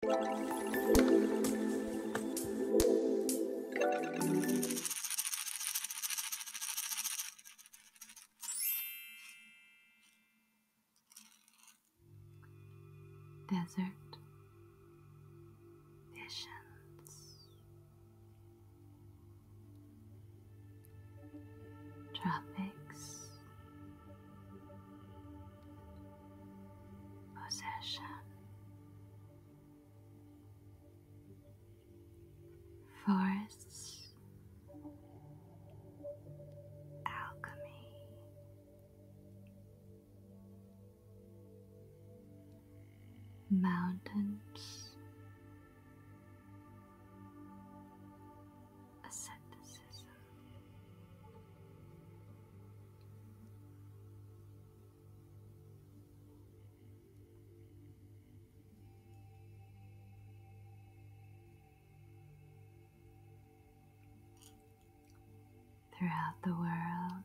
Desert visions, tropics possession, forests, alchemy. Mountains, asceticism, Throughout the world,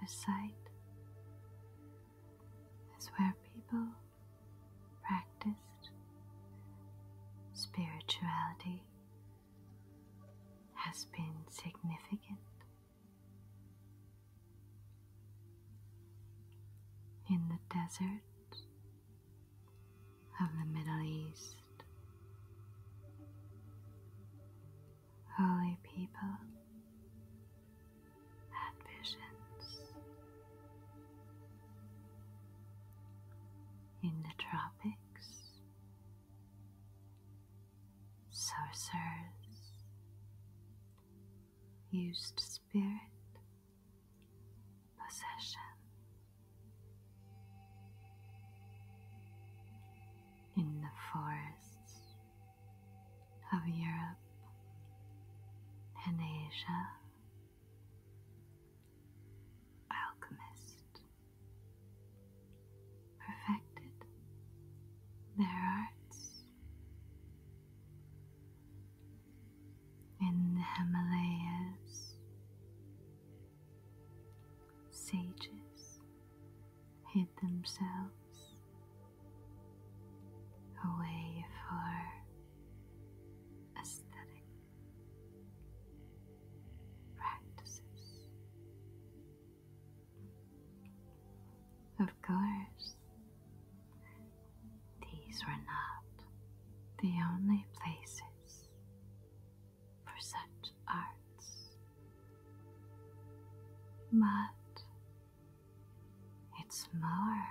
the site is where people practiced spirituality has been significant. In the desert of the Middle East, holy people had visions in the tropics, sorcerers used spirit possession. In the forests of Europe and Asia, alchemist perfected their arts in the Himalayas. Sages hid themselves away for aesthetic practices. Of course, these were not the only places for such arts, but it's more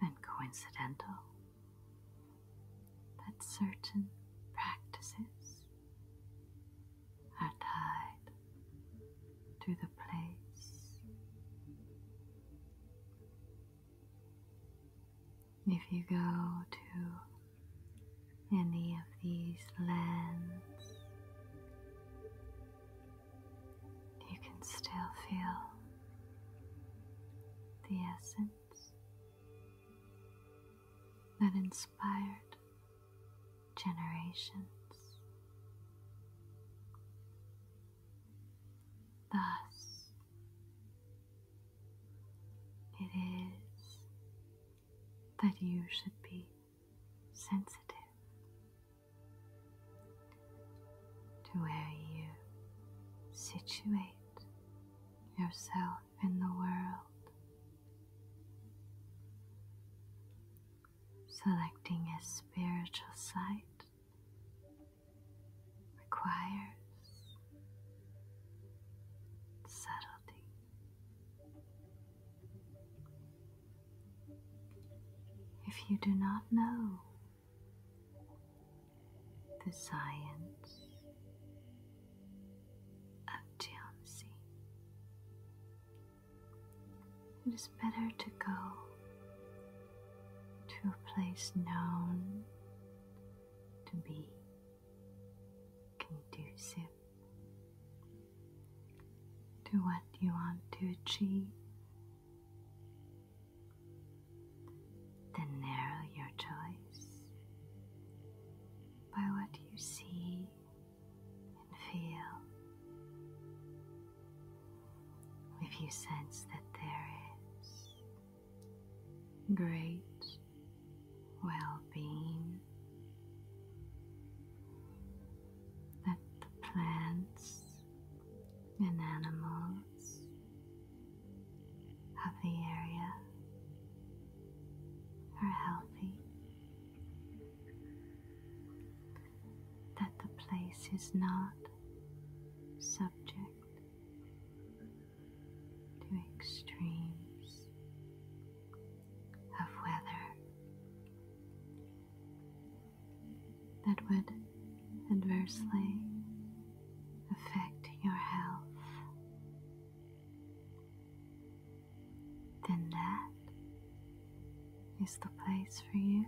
than coincidental that certain practices are tied to the place. If you go to any of these lands, you can still feel the essence that inspired generations. Thus, it is that you should be sensitive to where you situate yourself in the world, selecting a spiritual site requires subtlety. If you do not know the science of Jiangxi. It is better to go to a place known to be conducive to what you want to achieve then narrow your choice by what you see and feel. If you sense that there is great well being, that the plants and animals of the area are healthy, that the place is not subject to extremes of weather that would adversely affect your health, then that is the place for you.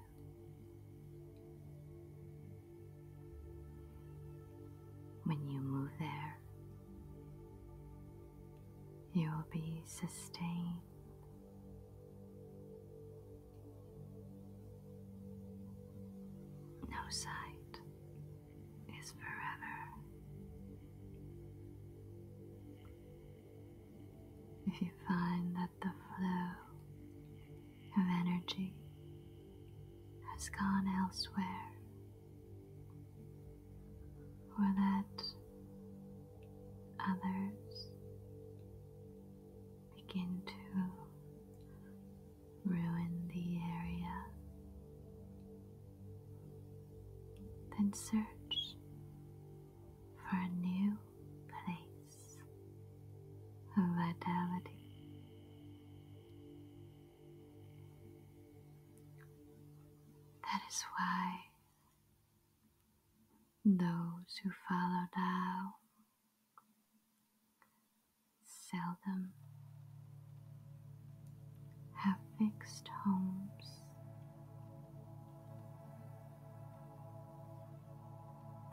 When you move there, you will be sustained no sight is forever. If you find that the flow of energy has gone elsewhere, or that others begin to ruin the area. Then search for a new place of vitality. That is why those who follow Tao seldom have fixed homes.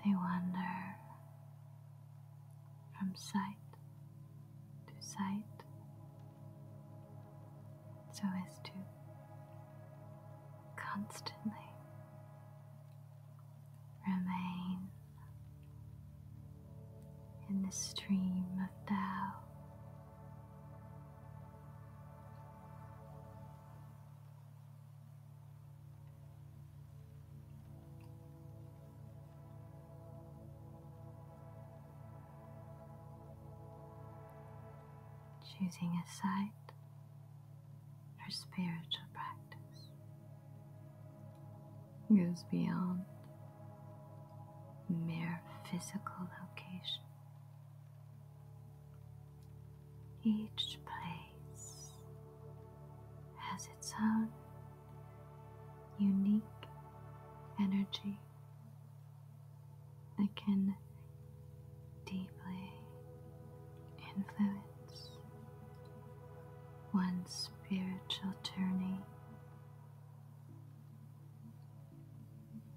They wander from sight to sight, so as to constantly remain in the stream of Tao. Choosing a site her spiritual practice goes beyond mere physical location. Each place has its own unique energy that can deeply influence one's spiritual journey.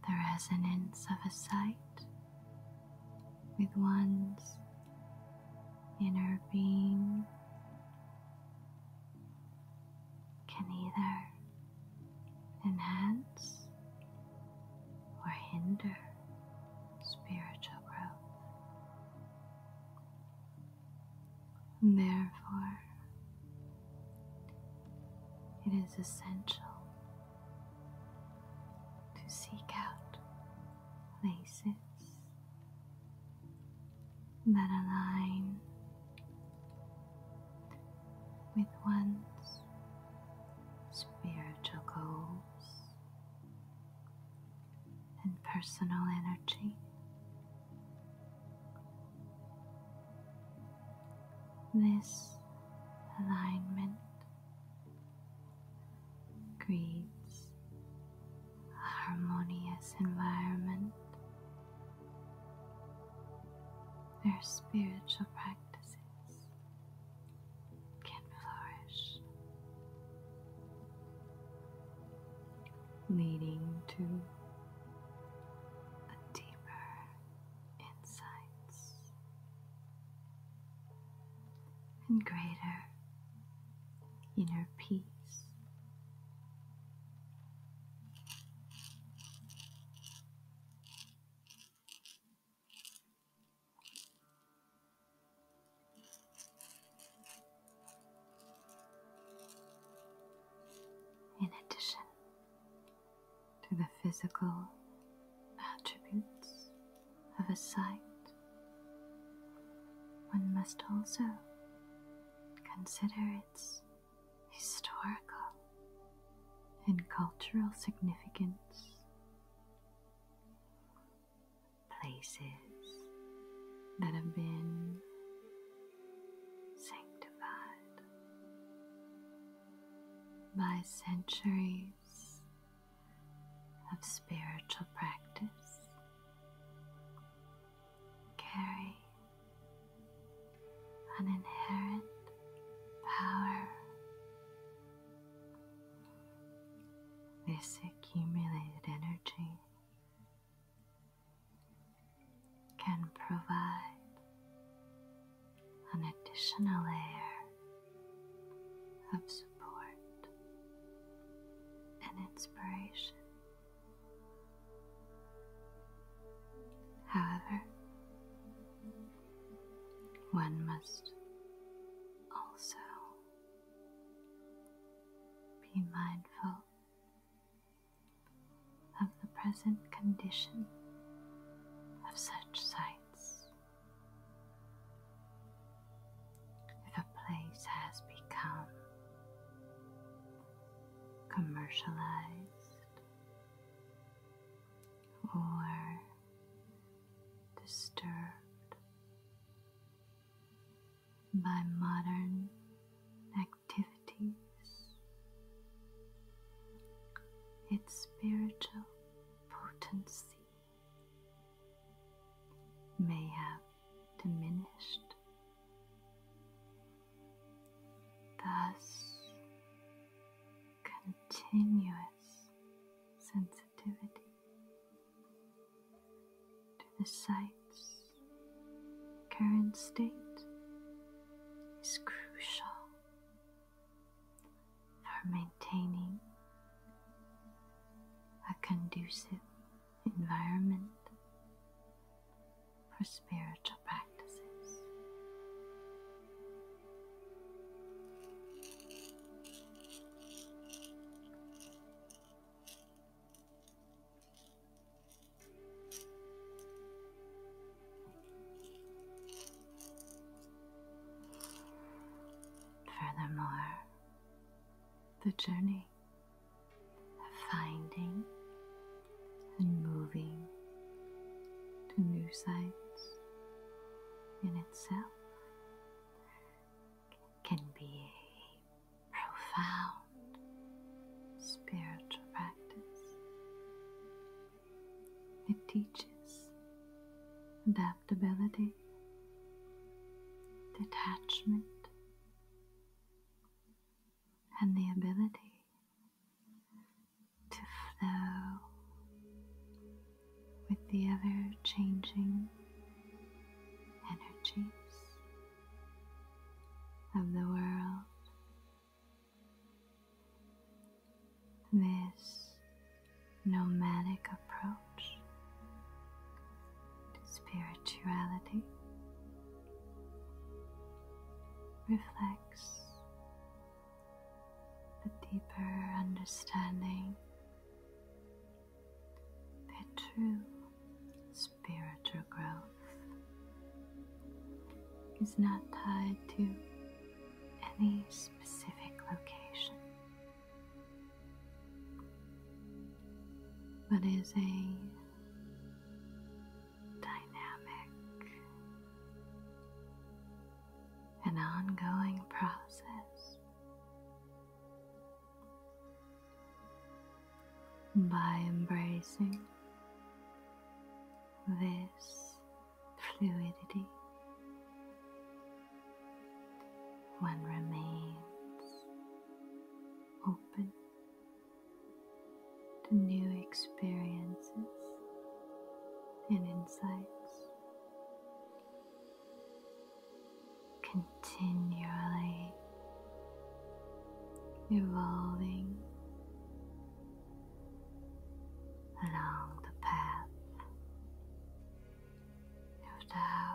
The resonance of a sight with one's inner being can either enhance or hinder spiritual growth. therefore, it is essential to seek out places that align with one's spiritual goals and personal energy. This alignment creates a harmonious environment where spiritual practices can flourish, leading to a deeper insights and greater inner peace. In addition to the physical attributes of a sight, one must also consider its historical, and cultural significance. Places that have been sanctified by centuries of spiritual practice carry an inherent power. This accumulated energy can provide an additional layer of support and inspiration. However, one must also be mindful of the present condition of such sites. If a place has become commercialized or disturbed by modern activities. Its spiritual potency may have diminished Thus, continuous sensitivity to the sights' current state is crucial for maintaining a conducive environment for spiritual practices. Furthermore, the journey of finding and moving to new sites in itself can be a profound spiritual practice. It teaches adaptability, detachment, and the ability to flow with the ever changing energies of the world. This nomadic approach to spirituality reflects the deeper understanding that true spiritual growth is not tied to any specific location, but is a dynamic, an ongoing process. By embracing this fluidity, one remains open to new experiences and insights. Continually evolving along the path of Tao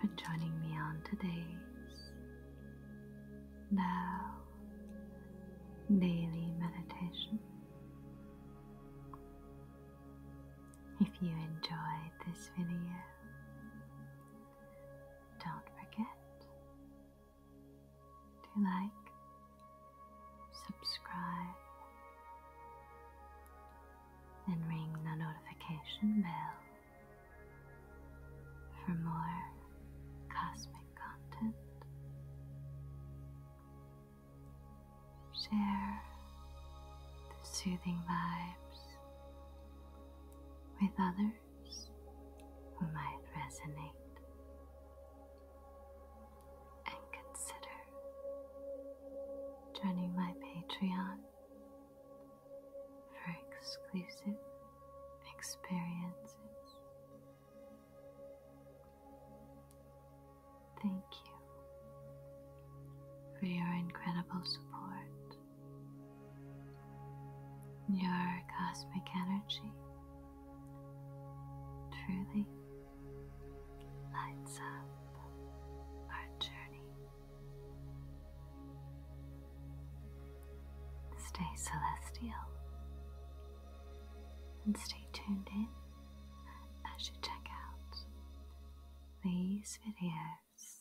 for joining me on today's now daily meditation. If you enjoyed this video, don't forget to like, subscribe, and ring the notification bell for more cosmic content. Share the soothing vibes with others who might resonate and consider joining my Patreon for exclusive experiences. Thank you for your incredible support. Your cosmic energy truly lights up our journey. Stay celestial and stay tuned in as you check out these videos.